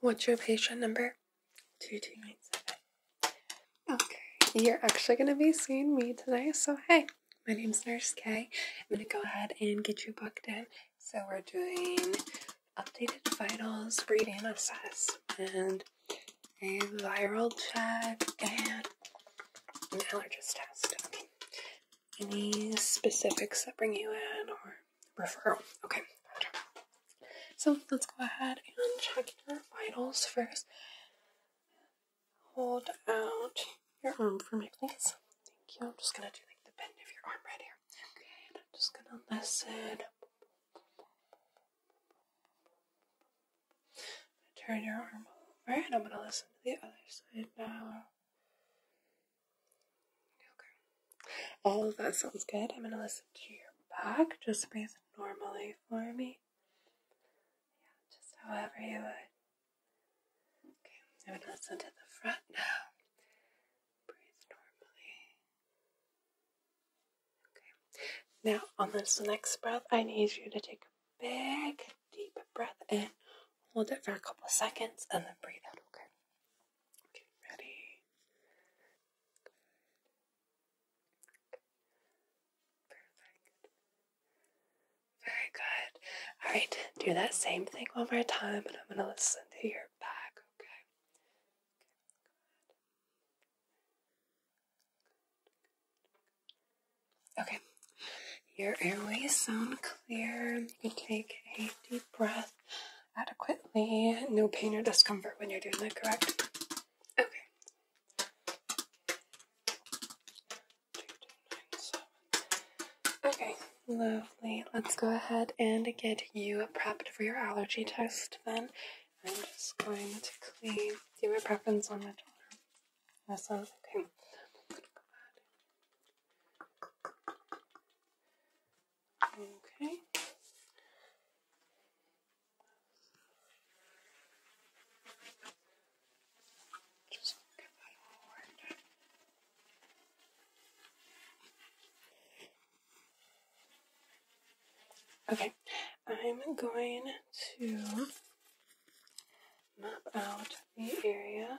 What's your patient number? 2297. Okay, you're actually going to be seeing me today, so hey, my name's Nurse Kay. I'm going to go ahead and get you booked in. So we're doing updated vitals, reading assess, and a viral check, and an allergist test. Okay. Any specifics that bring you in, or referral. Okay. So let's go ahead and check your vitals first. Hold out your arm for me, please. Thank you. I'm just gonna do like the bend of your arm right here. Okay, and I'm just gonna listen. Turn your arm over, and I'm gonna listen to the other side now. Okay. All oh, of that sounds good. I'm gonna listen to your back. Just breathe normally for me. Yeah, just however you would. Okay, I'm listen to the front now. Breathe normally. Okay. Now on this next breath, I need you to take a big deep breath in. Hold it for a couple of seconds and then breathe out, okay? Okay, ready? Good. Perfect. Very good. All right, do that same thing one more time, and I'm gonna listen to your back. Okay. Okay. Your airways sound clear. You can take a deep breath adequately. No pain or discomfort when you're doing it, correct? Okay. Okay, lovely. Let's go ahead and get you prepped for your allergy test then. I'm just going to clean, do a preference on that shoulder. This one? Okay. Okay. Okay, I'm going to map out the area.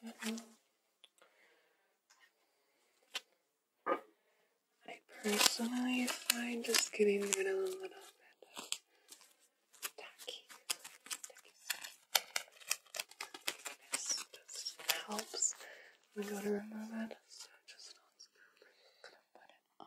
I personally find just getting rid of a little bit of tacky, Just helps when we go to remove it. So just on screen, gonna put it on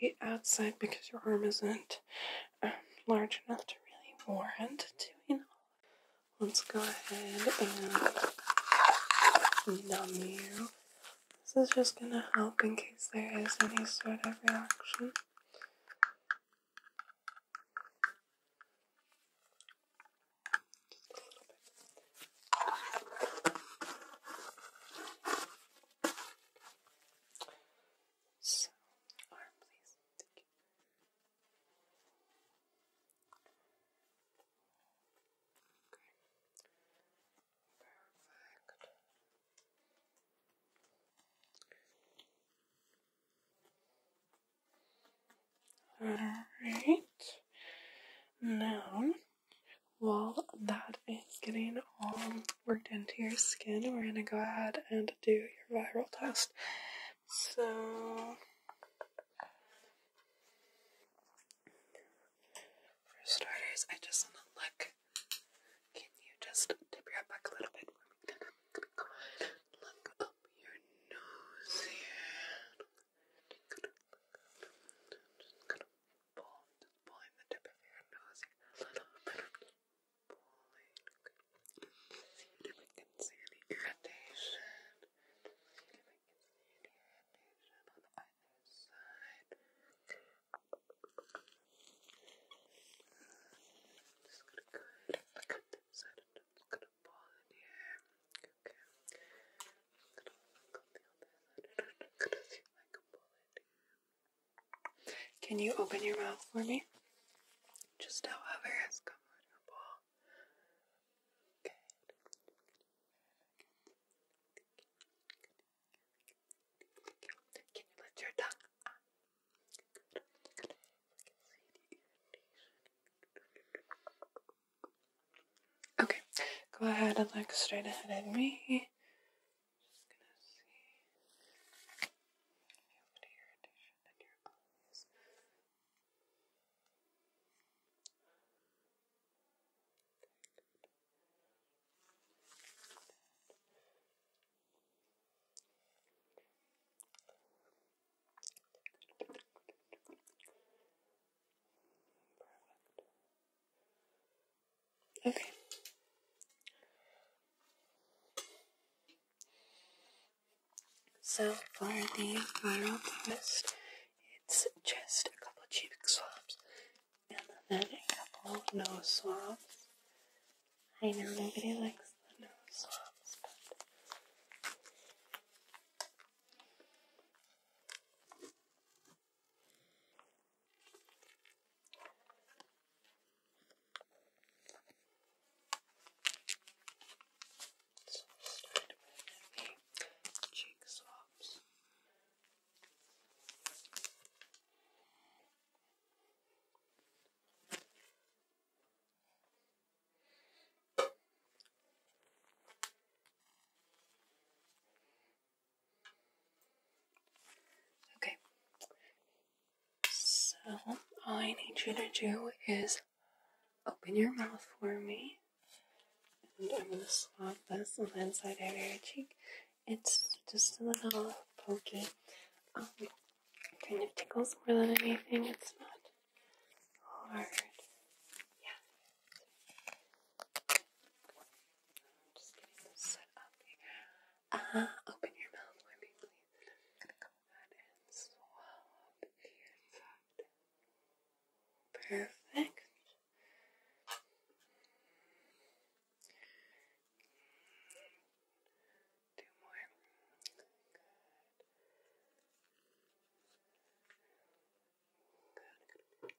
the outside because your arm isn't um, large enough to really warrant doing all. Let's go ahead and numb you. This is just gonna help in case there is any sort of reaction. So, arm please. Thank you. Okay. Perfect. All right. Now while that is getting all worked into your skin, we're gonna go ahead and do your viral test. So, for starters, I just wanna look. Can you just tip your head back a little bit for me? Look up your nose here palm, just pulling the tip of your nose a little bit pulling. See if I can see any irritation. See if I can see any irritation on either side. just gonna go look at this side just gonna pull in here. Okay. i gonna look on the gonna see if I pull it here. Can you open your mouth for me? Just however is comfortable. Good. Can you lift your tongue Okay, go ahead and look straight ahead at me just gonna see if you have any irritation in your eyes. Okay, good. Perfect. Okay. So for the viral test, it's just a couple cheek swabs and then a couple nose swabs. I know nobody likes the nose swabs, but so we'll start with the cheek swabs. Okay. So, all I need you to do is open your mouth for me. And I'm going to swab this on the inside of your cheek. It's just a little pokey. Um, kind of tickles more than anything. It's not hard. Yeah. Ah, open your mouth for me, please. I'm gonna go ahead and swallow up your Perfect. Two more. Good. Good. Good. Good.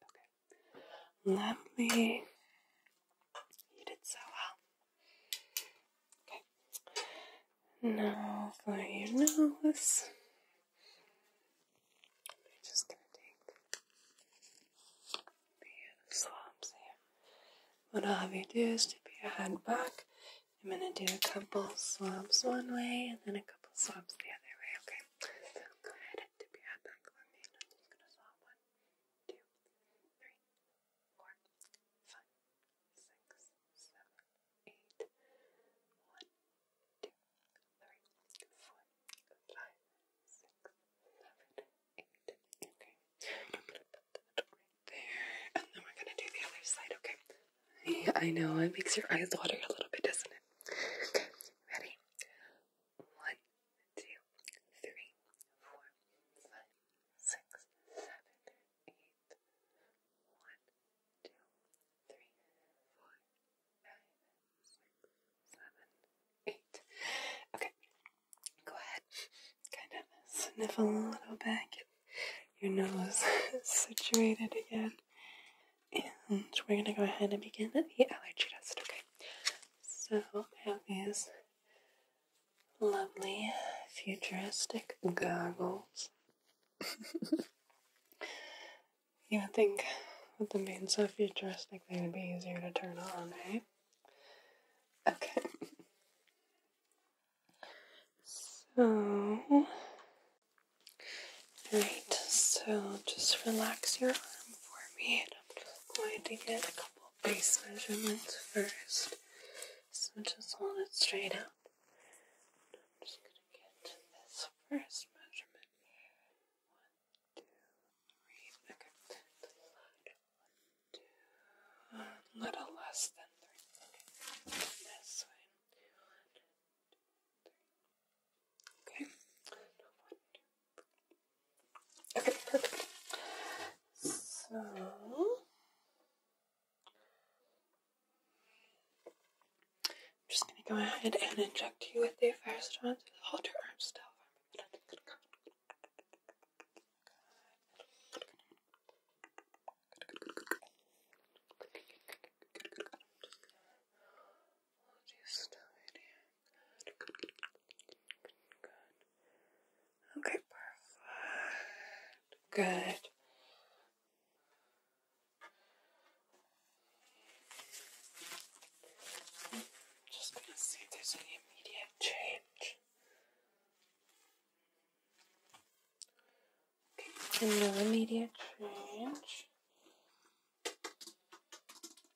Okay. Lovely. You did so well. Okay. Now for your nose. I'm just gonna take the swabs here. What I'll have you do is tip your head back. I'm gonna do a couple swabs one way and then a couple swabs the other way, okay? So go tip your head back for me. I'm just gonna swab one two, three, four, five, six, seven, eight, one, two, three, four, five, six, seven, eight. Okay. i there. And then we're gonna do the other side, okay? Yeah, I know, it makes your eyes water a little bit, doesn't it? Okay, ready? One, two, three, four, five, six, seven, eight, one, two, three, four, five, six, seven, eight. Okay, go ahead. Kind of sniff a little back. Your nose is situated again. And we're gonna go ahead and begin the allergy test, okay? So I have these lovely futuristic goggles. you would think with the being so futuristic they would be easier to turn on, right? Eh? Okay. so Alright, so just relax your arm for me I'm just going to get a couple base measurements first. So just hold it straight up. I'm just gonna get this first measurement. One, two, three. Okay. One, two. A little less than three. Okay. One, two, three. Okay. Okay, perfect. So I'm just gonna go ahead and inject you with the first one to hold arm still. Okay, perfect. Good. just gonna see if there's any immediate change. Okay, no immediate change.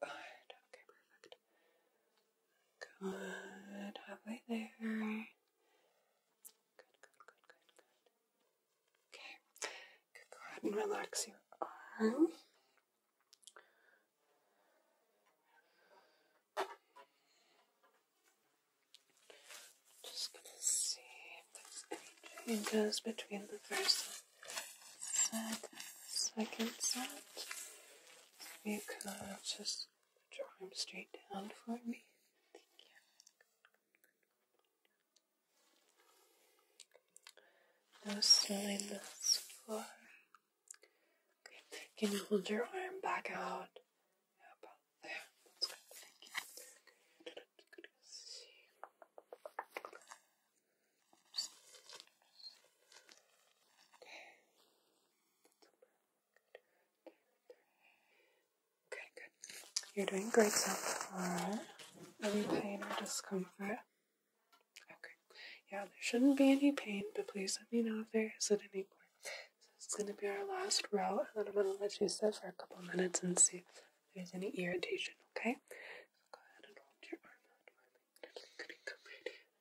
Good. Okay, perfect. Good. Halfway there. Good, good, good, good, Okay. go ahead and relax your arm. Just gonna see if there's any changes between the first set and the second set you can just draw him straight down for me. Thank you. Now slowly this floor. Can you hold your arm back out? about there? Thank you. Okay. Okay, good. You're doing great so far. Any pain or discomfort? Okay. Yeah, there shouldn't be any pain, but please let me know if there is at any point. This is going to be our last row, and then I'm going to let you sit for a couple minutes and see if there's any irritation, okay?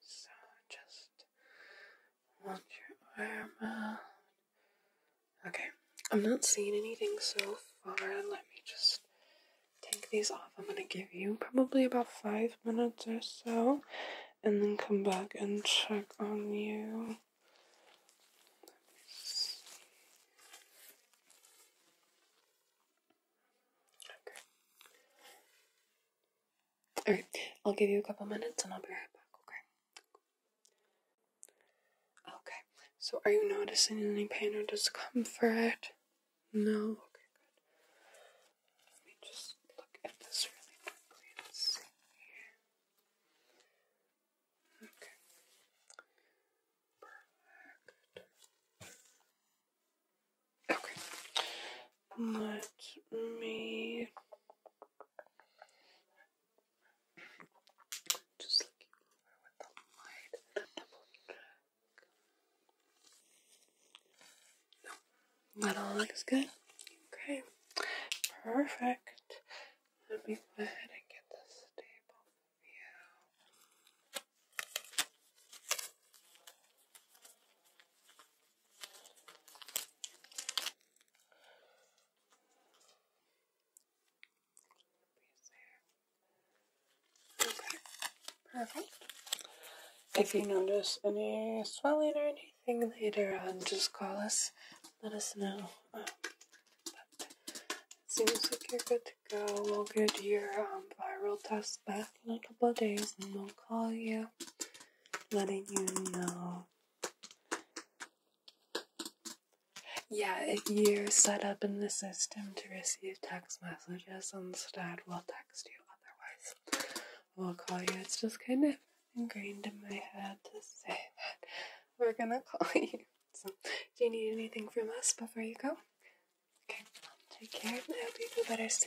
So just want your arm Okay, I'm not seeing anything so far. Let me just take these off. I'm gonna give you probably about five minutes or so, and then come back and check on you. Okay. Alright, I'll give you a couple minutes and I'll be right back, okay? Okay, so are you noticing any pain or discomfort? No? Okay, good. Let me just look at this really quickly Okay. Perfect. Okay. Let me just look over with the light. No, that all looks good. Okay, perfect. Let me go ahead and get the table for you perfect. If you notice any swelling or anything later on, just call us, let us know. Um, seems like you're good to go. We'll get your um, viral test back in a couple of days and I'll call you, letting you know. Yeah, if you're set up in the system to receive text messages instead, we'll text you. Otherwise, we'll call you. It's just kind of ingrained in my head to say that we're gonna call you. do you need anything from us before you go? Okay, take care. I hope you feel better soon.